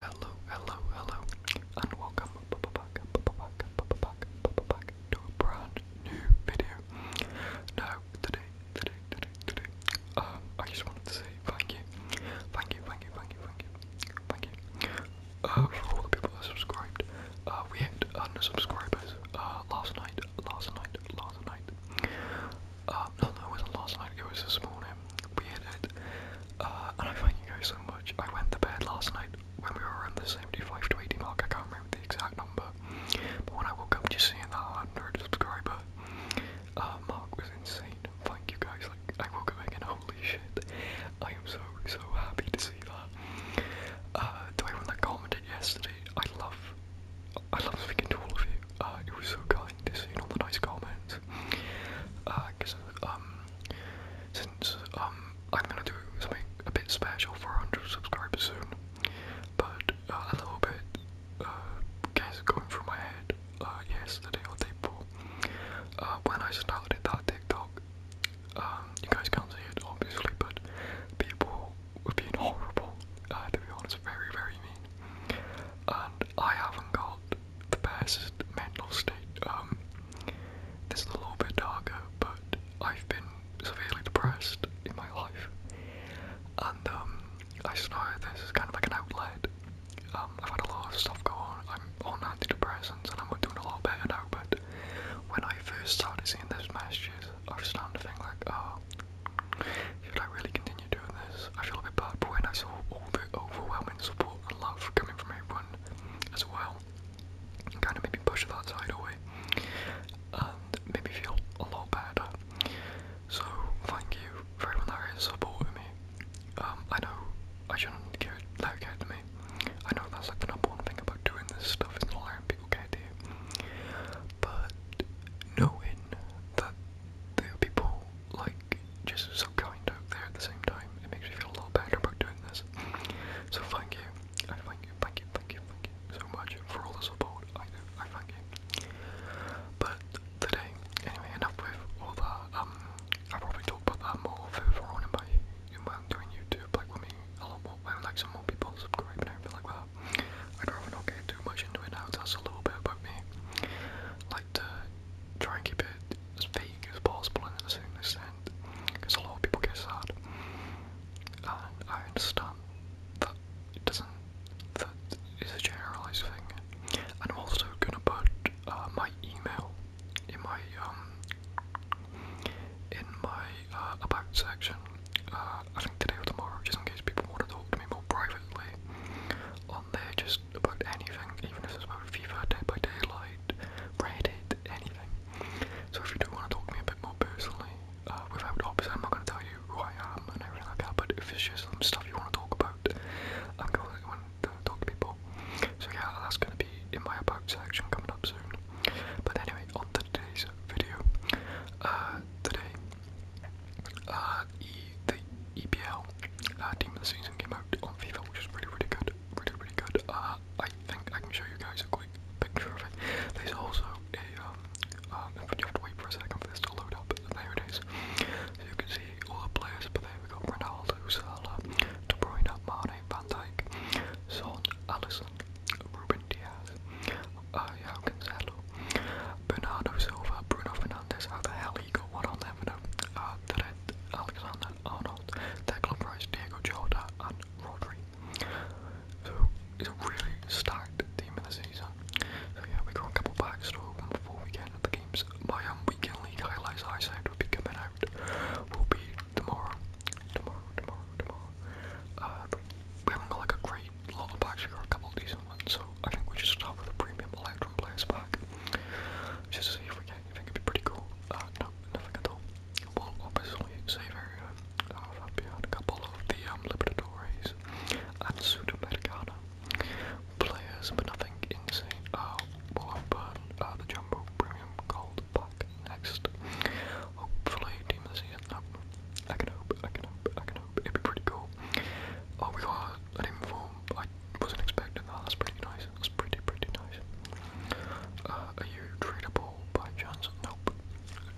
Hello, hello, hello, and welcome back, back, back, back to a brand new video. Now, today, today, today, today, um, I just wanted to say thank you, thank you, thank you, thank you, thank you, thank you, uh, for all the people that subscribed. Uh, we hit under subscribers, uh, last night, last night, last night. Uh, no, no, it wasn't last night, it was this morning being it. Uh, and I thank you guys so much. I went to bed last night when we were on the 75 to 80 mark, I can't remember the exact number. But when I woke up just seeing that 100 subscriber uh, mark was insane. Thank you guys, like, I woke up again, holy shit. I am so, so happy to see that. I to everyone that commented yesterday, I love I love speaking to all of you. Uh, it was so kind to see all the nice comments because uh, um, since um, I'm gonna do something a bit special for 100 subscribers soon, but uh, a little bit uh, guys going through my head uh, yesterday or day before uh, when I started that TikTok. Um, you guys can't see it obviously, but people were being horrible. to be honest, very very mean. And I haven't got the past mental state. Um, this is a little bit darker, but I've been severely depressed in my life, and um, I know this is kind of like an outlet. Um, I've had a lot of stuff go on. I'm on antidepressants, and I'm doing a lot better now. But when I first started seeing those messages, I was starting to think like, oh, should I really continue? doing this. I feel a bit bad, but when I saw all the overwhelming support and love coming from everyone as well, it kind of made me push that side away and made me feel a lot better. So, thank you for everyone that is supporting me. Um, I know I shouldn't get, let it get me. I know that's like the number one thing about doing this stuff is not letting people get to you. But knowing that there are people like like just so kind out there at the same time. It makes me feel a little better about doing this. So thank you. I thank you, thank you, thank you, thank you so much for all the support. I do, I thank you. But today, anyway, enough with all that. Um, I'll probably talk about that more further on in my in my doing YouTube, like when me a lot more when like some more people subscribe and everything like that. I'd rather not get too much into it now, so that's a little bit about me. Like to try and keep it as vague as possible in a certain extent, because a lot of people get sad, and I understand that it doesn't, that is a generalized thing. And I'm also gonna put uh, my email in my, um, in my uh, about section, uh, I think today or tomorrow, just in case people want to talk to me more privately on there, just about anything, even if it's about FIFA, Dead by Daylight, Reddit, anything. So if you do want to talk to me a bit more personally, uh, without obviously I'm not going to tell you who I am and everything like that, but if it's just some stuff you want to talk about, I'm going to uh, talk to people. So yeah, that's going to be in my about section coming up soon. But anyway, on today's video. Uh, today uh, e the EPL team uh, of the season came out on FIFA, which is really, really good. Really, really good. Uh, I think I can show you guys a quick picture of it. There's also a, um, um, you have to wait for a second for this to load up, and you can see all the players, but there we got Ronaldo, Salah, Mane, Van Dijk, Son, Allison, Ruben Diaz, uh, Bernardo Silva, Bruno Fernandez. how the hell Vigo, Ronald Levino, uh, Therese, Alexander Arnold, Declan Price, Diego Jota, and Rodri. So it's a really stacked team of the season. So yeah, we got a couple packs to open before we get into the games. My um, weekend league highlights I said be coming out will be tomorrow. Tomorrow, tomorrow, tomorrow. Uh, we haven't got like a great lot of we got a couple of decent so I think we should start with a premium Electrum Players pack. Just to see if we can, I think it'd be pretty cool. Uh, no, nothing at all. We'll obviously save area uh, Fabian, uh, a couple of the um, Libertadores and Sudamericana players, but nothing insane. Uh, we'll open uh, uh, the Jumbo Premium Gold pack next. Hopefully, Team the Season. I can hope, I can hope, I can hope. It'd be pretty cool. Oh, we got an inform. I wasn't expecting that. That's pretty nice. That's pretty pretty nice. Uh, are you tradable by chance? Nope.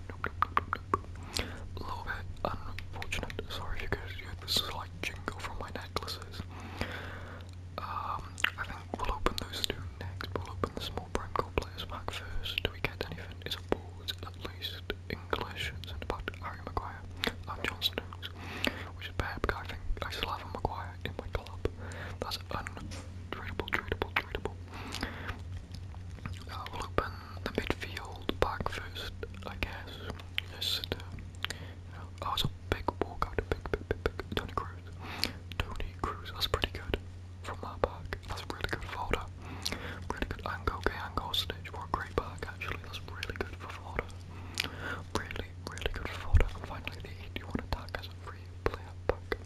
Nope. Nope. Nope. nope. A little bit unfortunate. Sorry if you guys hear the slight jingle from my necklaces. Um, I think we'll open those two next. We'll open the small prime gold players pack first. Do we get anything? It's a board at least. English, and about Harry Maguire and John Stones, which is bad because I think I still have a Maguire in my club. That's untradeable, tradable, tradable. Uh, we'll open the midfield back first, I guess. Just, I was oh, a big Walker. a big, big, big, big Tony Cruz. Tony Cruz, that's pretty good from that back. That's a really good folder. Really good angle, okay, angle stage for great back actually actually that's really good for fodder. Really, really good for fodder. And finally the 81 attack as a free player pack.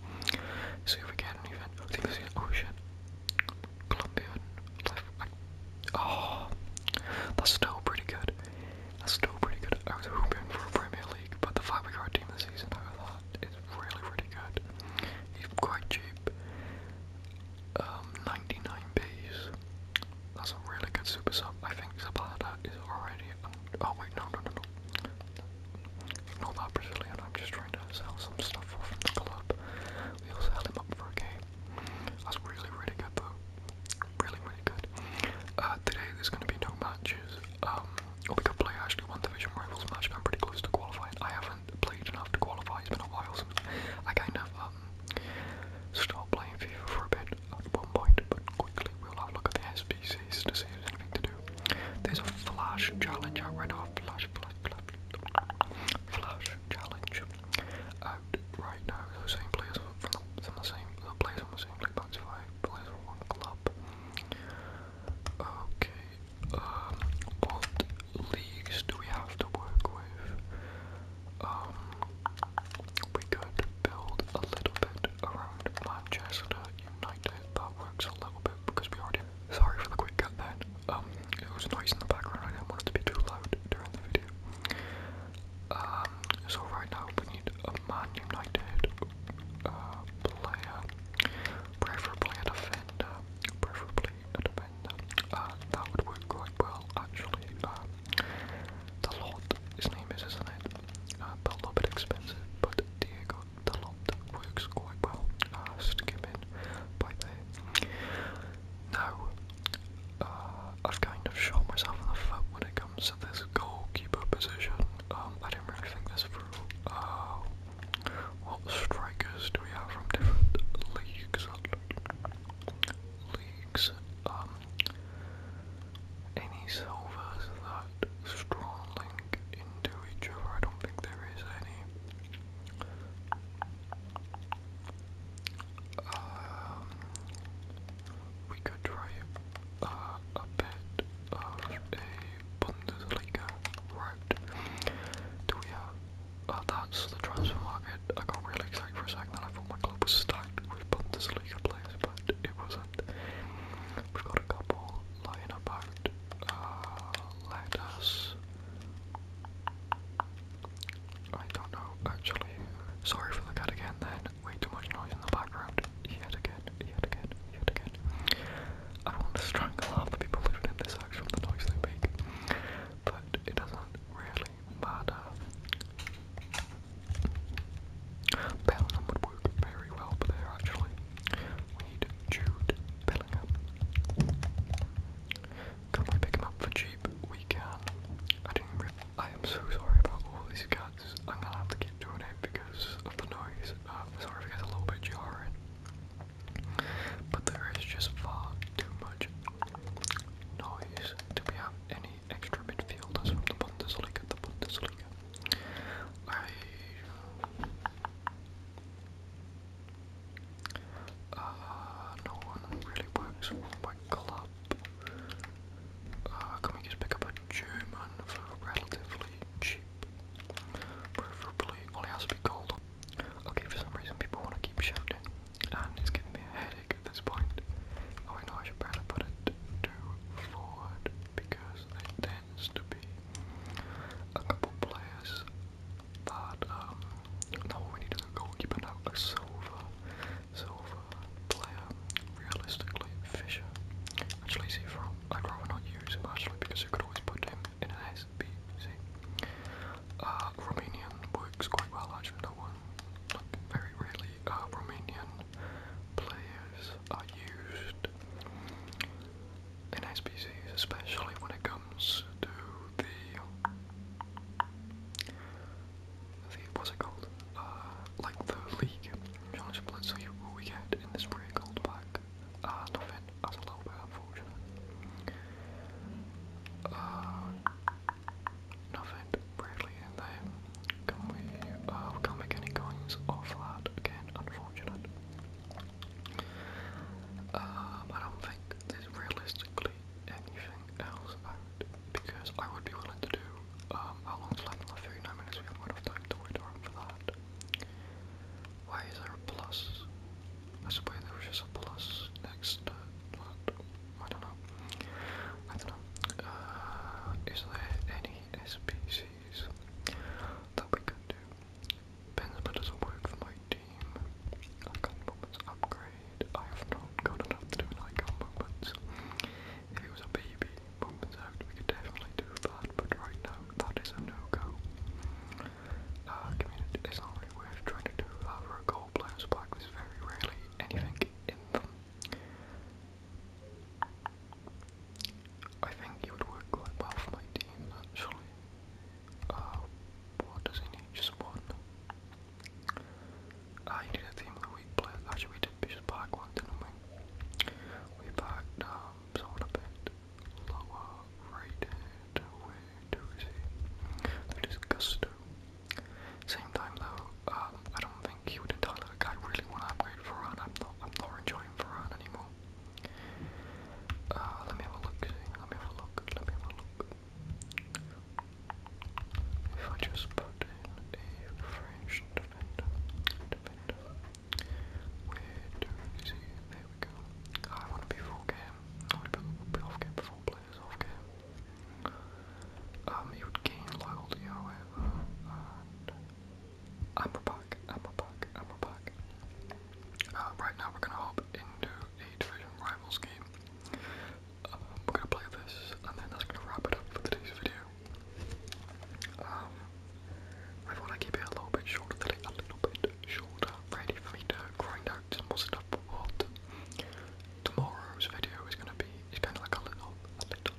See if we get an oh shit. Colombian Oh that's still pretty good. That's still pretty good. I was hoping for a Premier League, but the fact team this season out of that is really, really good. He's quite cheap um, 99 Bs. That's a really good super sub. I think Zapata is already. Un oh wait, no, no, no, no. Ignore Brazilian. I'm just trying to sell some stuff off from the club. We'll sell him up for a game. That's really, really good though. Really, really good. Uh, today there's going to be no matches. Um, we could play actually one division rivals match. I'm pretty close to qualifying. I haven't played enough to qualify. It's been a while So I kind of. Um, stop playing FIFA for a bit at one point, but quickly we'll have a look at the SPCs to see if there's anything to do. There's a Flash Challenge, I read off Flash, Flash, Flash, Challenge out right now. Those same players from, the same, the players from the same league, that's five players from one club. Okay, um, leagues do we have to work with? Um, we could build a little bit around Manchester United. That works a little bit because we already. Sorry for the quick cut then. Um, it was noise in the background. I didn't want it to be too loud during the video. Um, so right now we need a Man United uh, player, preferably a defender, preferably uh, that would work quite well actually. Um, the lot, his name is, is uh, a little bit expensive, but Diego the lot works quite well. Uh, stick in by there. Now, uh, I've kind of shot myself in the foot when it comes to this goalkeeper position. Um, I didn't really think this through. what strikers do we have from different leagues leagues, um, any silvers that strong into each other. I don't think there is any. Um, we could try uh, a bit of a Bundesliga route. Do we have that's the transfer market. I got really excited for a second, and I thought my club was stacked with Bundesliga place, but it wasn't. We've got a couple lying about. Uh, let us. I don't know, actually. Sorry for the cut again, then. Way too much noise in the background. Yet again, yet again, yet again. I want to strangle half the people living in this house from the noise they make but it doesn't really matter. Bellingham would work very well for there actually. We need Jude Bellingham. Can we pick him up for cheap? We can. I didn't I am so sorry about all these cats. I'm gonna have to keep doing it because of the noise. Um, sorry if it gets a little bit jarring. But there is just far too much noise to be have any extra midfielders from the Bundesliga. The Bundesliga. I. Uh, no one really works for my club. Uh, can we just pick up a German for relatively cheap? Preferably, only has to be gold Okay, for some reason people want to keep shouting, and it's giving me a headache at this point. Oh, I know I should better put it to forward because it tends to be a couple players that, um, no, we need a goalkeeper now, a silver, silver player, realistically, Fisher. Actually, see, from, I'd rather not use him actually because you could always put him in SPC. Uh, Romanian works quite well actually, that one. very rarely uh, Romanian players are used in SPCs, especially when it comes to the, the what's it called? Uh, like the league challenge split. So you, we get in this really gold pack like nothing. That's a little uh, bit unfortunate. Uh, nothing really in Can we? Uh, we can't make any coins off that again. Unfortunate. Um, I don't think there's realistically anything else out because I would be willing to do. Um, how long's left in the 39 minutes? We haven't got enough time to wait around for that. Why is there a plus? I suppose there was just a plus next to that. I don't know. I don't know. Uh, is there any SPCs that we could do? Benzema doesn't work for my team. Icon moments upgrade. I have not got enough to do an icon moments. If it was a baby moments out, we could definitely do that, but right now that is a no-go uh, community is not really worth trying to do. However, uh, a gold player's black, there's very rarely anything in them. I think he would work quite well for my team, actually. Uh, what does he need? Just one. I uh, ah, need a team of the weak player. Actually, we did just back one, didn't we? We backed um, someone a bit lower right hand way to see the disgusto. Same time though, uh, I don't think he would entirely like I really wanna upgrade Varan. I'm not I'm not enjoying Varan anymore. Uh let me have a look, see, let me have a look, let me have a look. If I just put in a French defender, defender, Wait, is he? There we go. I want to be full game. I want to be off game before players off game. Um, he would gain loyalty, however. I'm a pack, I'm a pack, I'm a pack. right now, we're gonna hop into a division rivals game. we're gonna play this, and then that's gonna wrap it up for today's video. Um, I want to keep it a little bit shorter today, a little bit shorter, ready for me to grind out some more stuff. What tomorrow's video is going to be is kind of like a little, a little,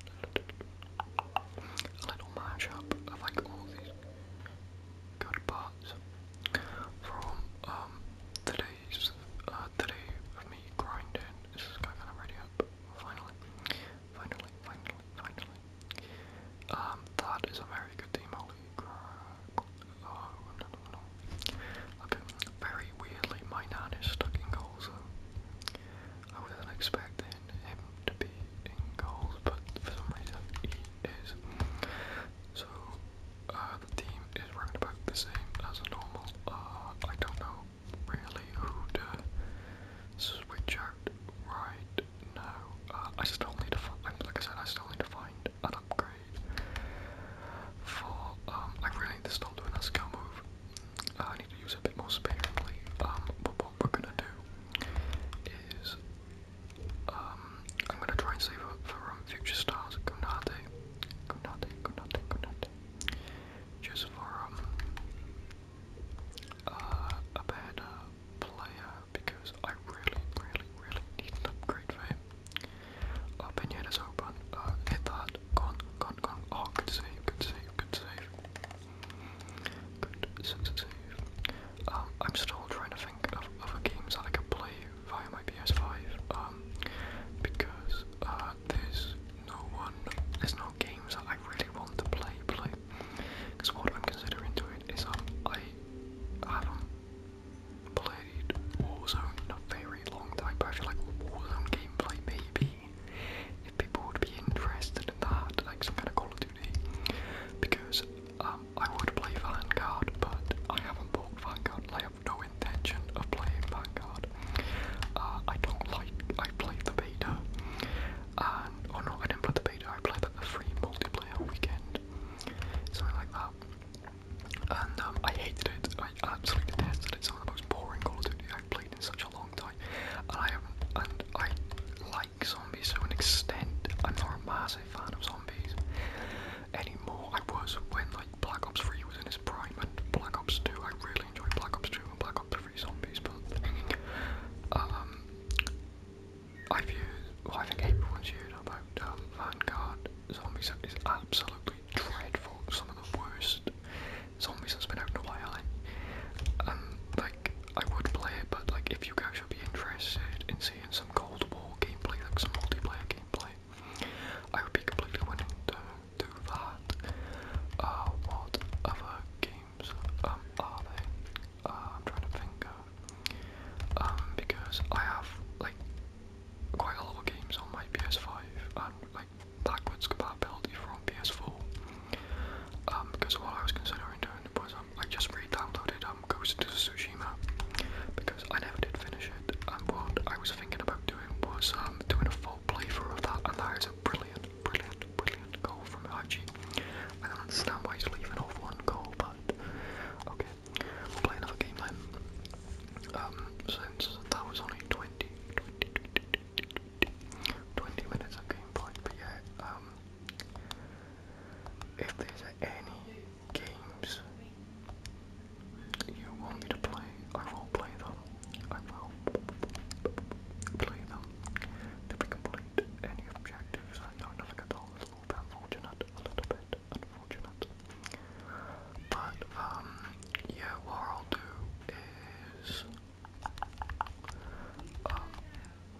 a little mashup of like all these good parts from um today's uh today of me grinding. This is kind of ready up finally, finally, finally, finally. Um, that is a very good team, holy I've been oh, very weirdly, my nan is stuck in goal, I wasn't expecting him to be in goals, but for some reason he is. So, uh, the team is round about the same as normal. Uh, I don't know really who to switch out right no, uh, I still need to find, like I said, I still need to find an upgrade for, um, I really need to stop doing that skill move. Uh, I need to use a bit more sparingly, um, but what we're gonna do is, um, I'm gonna try and save up for, um, future stars, Gunade, Gunade, Gunade, Gunade, just for, um, uh, a player because I really, really, really need an upgrade for him. Our pinhead is open. Uh, hit that. Gone, gone, gone. Oh, good save, good save, good save. Good save, save. Um, I'm still trying to think of other games that I could play via my PS5. Um, because uh, there's no one, there's no games that I really want to play, play, because what I'm considering doing is I haven't played Warzone in a very long time, I feel like Warzone gameplay maybe if people would be interested in that, like some kind of Call of Duty. Because um, I would play Vanguard, but I haven't bought Vanguard. I have no intention of playing Vanguard. Uh, I don't like. I played the beta, and oh no, I didn't play the beta. I played the free multiplayer weekend, something like that. And um, I hated it. I absolutely detested it. It's one of the most boring Call of Duty I've played in such a long time. And I and I like zombies to an extent. I'm not a massive fan of zombies anymore. I was when like Black Ops 3 was in its prime and Black Ops 2. I really enjoyed Black Ops 2 and Black Ops 3 zombies, but um, I've used, well I think everyone's used about Vanguard Zombies is absolutely dreadful, some of the worst zombies that's been out in a while. Um, like, I would play it, but like if you guys would be interested in seeing some Cold War gameplay, like some multiplayer gameplay, I would be completely willing to do that. Uh, what other game games um, are they? Uh, I'm trying to think. Uh, because I have like quite a lot of games on my PS5 and like backwards compatibility from PS4. Um, because what I was considering doing was um, I just re-downloaded um of Tsushima because I never did finish it, and what I was thinking about doing was doing a full playthrough of that, and that is a brilliant brilliant, brilliant goal from Archie. don't understand why he's leaving off one goal, but okay. We'll play another game then. Um, since that was only 20, minutes of gameplay, but yeah, um, if there's any games you want me to play, I will play them. I will play them. To be complete, any objectives I kind of at all unfortunate, unfortunate. But, um, yeah, what I'll do is um,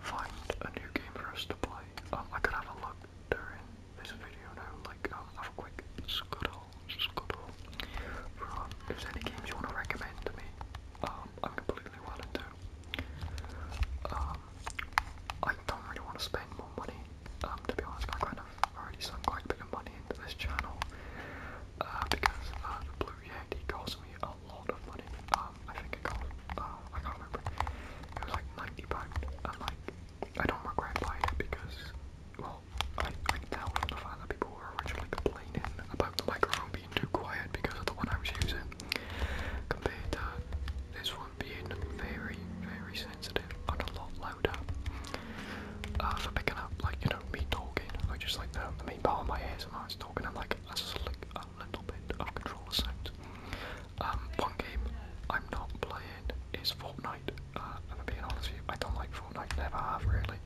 find a new game for us to play. Um, I could have a look during this video now, like, um, have a quick scuttle, scuttle. For, um, if there's any games you want to recommend to me, um, I'm completely willing to um, I don't really want to spend more money, um, to be honest, I kind of already sunk quite a bit of money into this channel, uh, because uh, the Blue Yeti cost me a lot of money, um, I think it cost, uh, I can't remember, it was like 90 pounds, and like, I don't regret buying it because, well, I, I tell from the fact that people were originally complaining about the microphone too quiet because of the one I was using compared to this one being very, very sensitive and a lot louder uh, for picking up, like, you know, me talking. I just like the, the main part of my ears ASMR is talking. I'm like, that's like a little bit of control of sound. Um, one game I'm not playing is Fortnite. Uh, I'm being honest with you, I don't like Fortnite, never have really.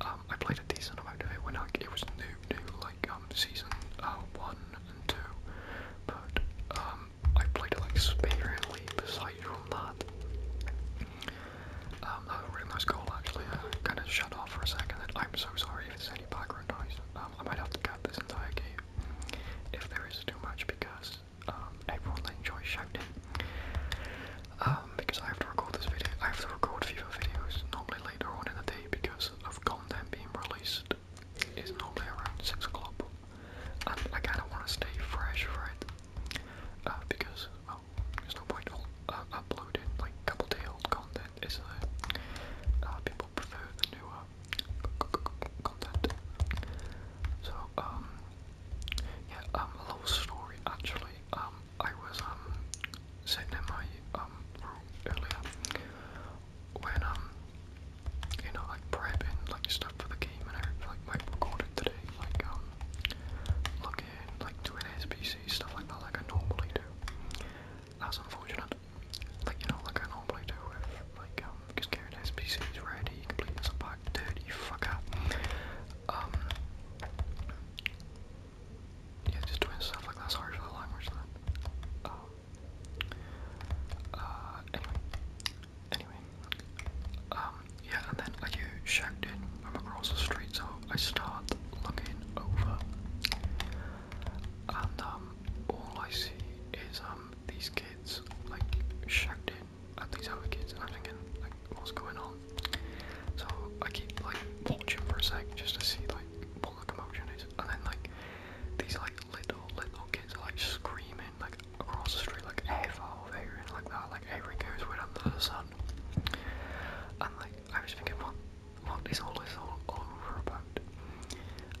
Um, I played a decent amount of it when I, it was new, new like um, season uh, one and two, but um, I played like sparingly. Besides from that, um, that was really nice goal actually. I kind of shut off for a second. I'm so sorry if it's any background noise. I might have to cut this entire game if there is too much because um everyone enjoys shouting. Um, because I have to record this video. I have to record FIFA videos normally later on in the day because of content being released is normally around six o'clock, and I kind of want to stay fresh right? Uh, because well, there's no point uh, uploading like couple day old content, is there? Uh, people prefer newer content. So um, yeah, um, a little story actually. Um, I was um, sitting in my um, room earlier when you know like prepping like stuff for the game and like my recorded today like um like doing SBC stuff like that like I normally do. That's unfortunate. Like you know like I normally do with like just getting SBCs ready, completing some pack dirty fucker yeah, just doing stuff like that's hard for the language then. Uh, uh, anyway, anyway, um, yeah, and then like you shouted from across the street, so I start looking over, and um, all I see is um these kids like shouting at these other kids, and I'm thinking like, what's going on? So I keep like watching for a sec just to see like what the commotion is, and then like these like little little kids are like screaming like across the street like F over here and like that, like every goes with under the sun. And like I was thinking, what what is all this all, all over about?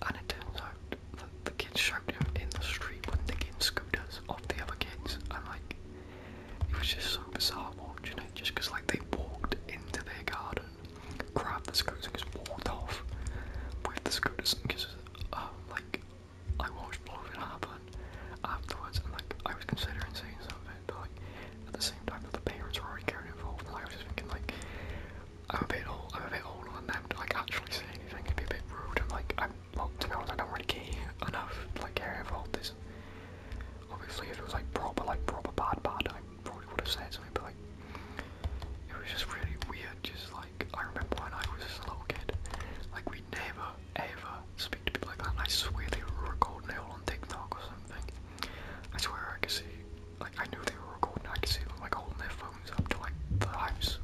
And it turns out that the kids shouted in the street when they getting scooters off the other kids, and like it was just so bizarre watching it, just because like they walked into their garden, grabbed the scooters and just walked off with the scooters and just um, like I watched all of it happen afterwards, and like I was considering saying something, but like at the same time that the parents were already getting involved, and I was just thinking like I'm a bit old, I'm a bit older than them to like actually say anything. It'd be a bit rude, and like I'm well, to be honest, I don't really care enough like how involved this obviously if it was like proper, like proper bad, bad, I probably would have said something. But like, it was just really weird. Just like I remember when I was just a little kid, like we never ever speak to people like that. And I swear they were recording it all on TikTok or something. I swear I could see, like I knew they were recording. I could see them like holding their phones up to like the eyes,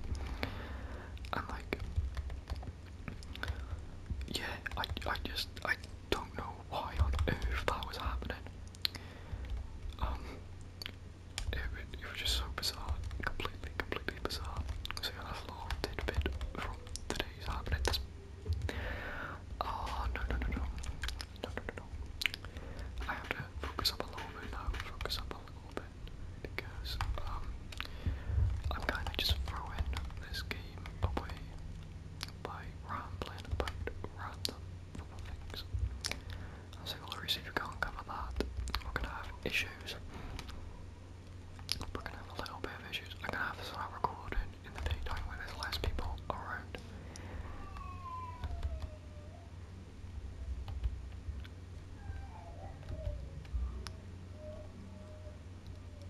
And like, yeah, I, I just, I don't know why on earth that was happening. Um, it, it, was just so bizarre, completely, completely bizarre. So yeah, that's a little tidbit from today's happening. oh no no no no, no no no I have to focus up a little now. Focus up a little bit because um, I'm kind of just throwing this game came away by rambling about random things. I was if you can't cover that, we're gonna have issues. We're gonna have a little bit of issues. I'm gonna have this not recorded in the daytime when there's less people around.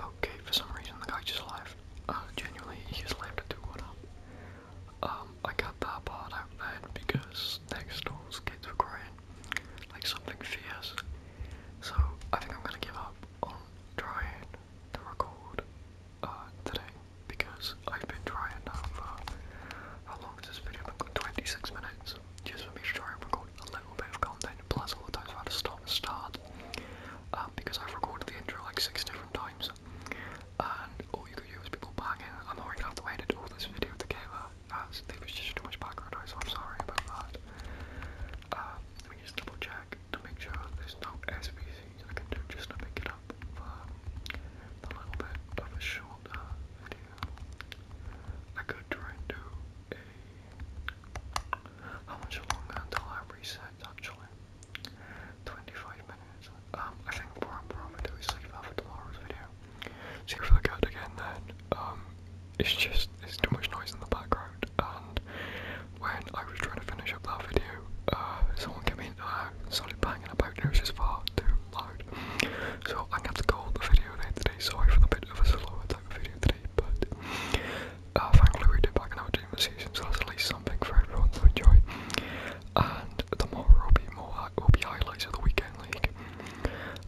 Okay, for some reason the guy just left. Uh, genuinely, he just left to do up. I got that part out then because next door's kids were crying, like something fierce. So I think I'm gonna give up on trying to record uh, today because I've been trying now for how long has this video been? 26 minutes just to make sure I record a little bit of content, plus all the times i had to stop and start, um, because I've recorded the intro like six different times, and all you could hear was people banging, I'm gonna have to edit all this video together, as there was just too much background noise, I'm sorry about that. Um, let me just double check to make sure there's no SVCs I can do just to pick it up a little bit of a shorter I could try and do How much longer until I reset actually? 25 minutes. Um, I think what I'm probably do is leave that for tomorrow's video. See if again then. Um, it's just, it's too much noise in the background and when I was trying to finish up that video, uh, someone came in and started banging about and it was just far too so I'm gonna have to call the video there today. Sorry for the bit of a slow type of video today, but uh, thankfully we did back in our dream season, so that's at least something for everyone to enjoy. And tomorrow will be more uh, will be highlights of the weekend league,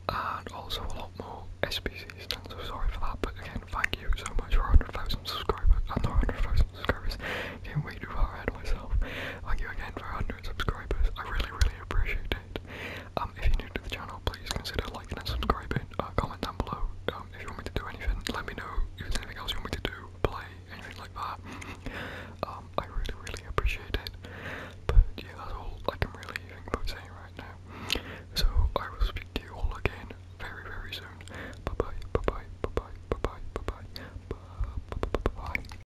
and also a lot more SPCs. And so sorry for that, but again, thank you so much for 100,000 subscribers. I know 100,000 subscribers. Can't wait to ahead of myself. Thank you again for hundred subscribers. I really, really appreciate it. Um, if you're new to the channel, please consider liking and subscribing. Uh, comment down below um, if you want me to do anything. Let me know if there's anything else you want me to do, play, anything like that. Um, I really, really appreciate it. But yeah, that's all I can really think about saying right now. So I will speak to you all again very, very soon. bye bye, bye bye, bye bye, bye bye, bye bye. bye, bye, bye, bye.